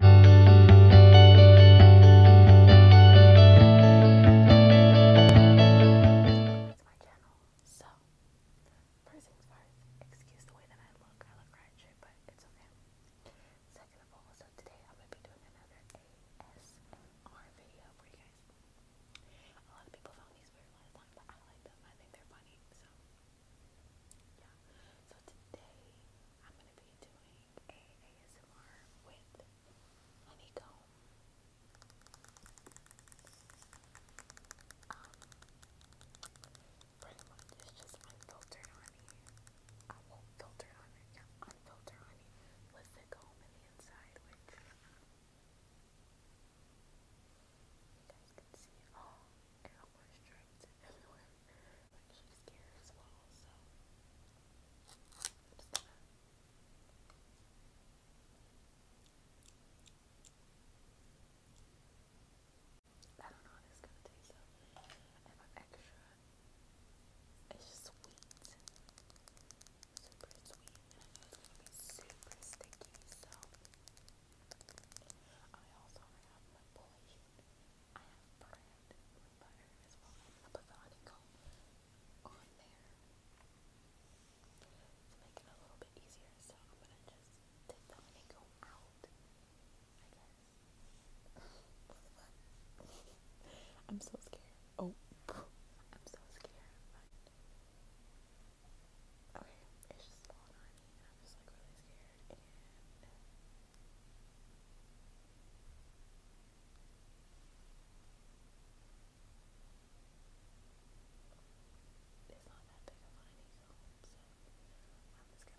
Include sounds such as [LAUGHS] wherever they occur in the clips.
It's so first things first, excuse the way that I look. I look right shit, but it's okay. Second of all, so today I'm gonna be doing another ASMR video for you guys. A lot of people found these weird last but I like them. I think they're funny, so yeah. So today I'm gonna be doing a ASMR with honeycomb. Um it's just unfiltered honey. I won't filter on it, unfiltered honey with the comb in the inside, which you guys can see. Oh, and I do not know how this is gonna taste though. And extra it's sweet. Super sweet. And it's gonna be super sticky, so I also have my polish. I have brand my butter as well as the Botanical on there to make it a little bit easier. So I'm gonna just take them and out. I am [LAUGHS] so scared. Oh, I'm so scared. Okay, it's just falling on and I was like really scared and it's not that big of an easel, so I'm just gonna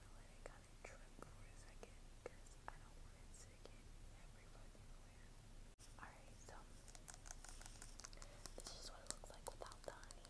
let it kind of trim for a second because I don't want it to get every fucking where. Alright, so this is what it looks like without the honey.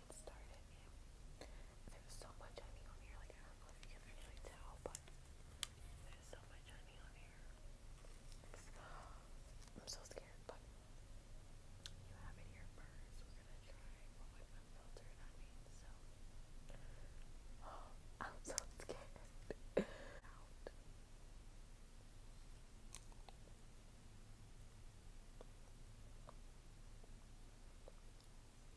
started. there's so much honey on here, like I don't know if you can really tell, but there's so much honey on here. I'm so scared, but you have it here we We're gonna try one with unfiltered honey, so [GASPS] I'm so scared. [LAUGHS]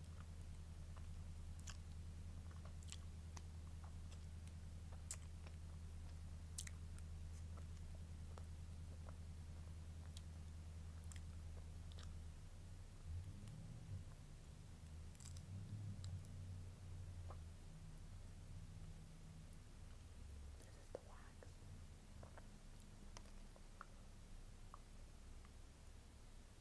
This is the wax.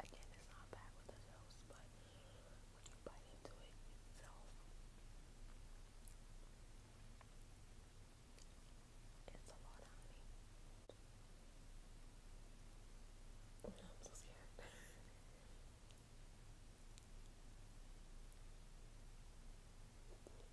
Again, it's not bad with adults, but when you bite into it it's a lot of honey. I'm so scared.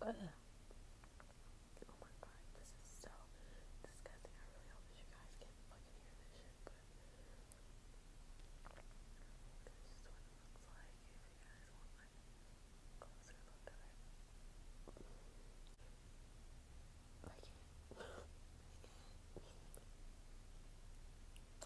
i you uh, oh my god, this is so disgusting. I really hope you guys can fucking hear this shit, but this is what it looks like if you guys want a closer look at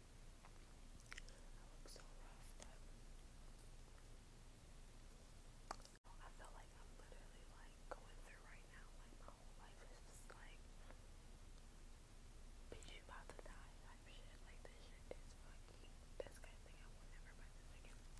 I look so rough, but I feel like I'm literally like going through right now, like my whole life is just like bitch you about to die type shit. Like this shit is fucking disgusting. I will never buy this again.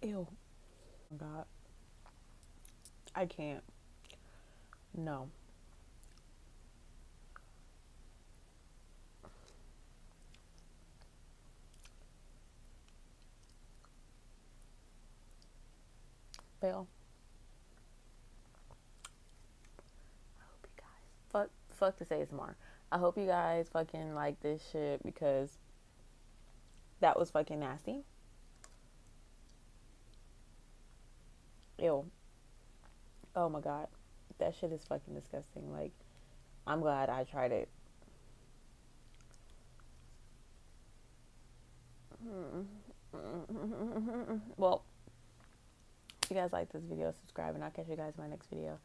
Ew. God. I can't. No. Bail. I hope you guys fuck fuck this tomorrow. I hope you guys fucking like this shit because that was fucking nasty. Ew. Oh my god, that shit is fucking disgusting. Like, I'm glad I tried it. [LAUGHS] Well, if you guys like this video, subscribe, and I'll catch you guys in my next video.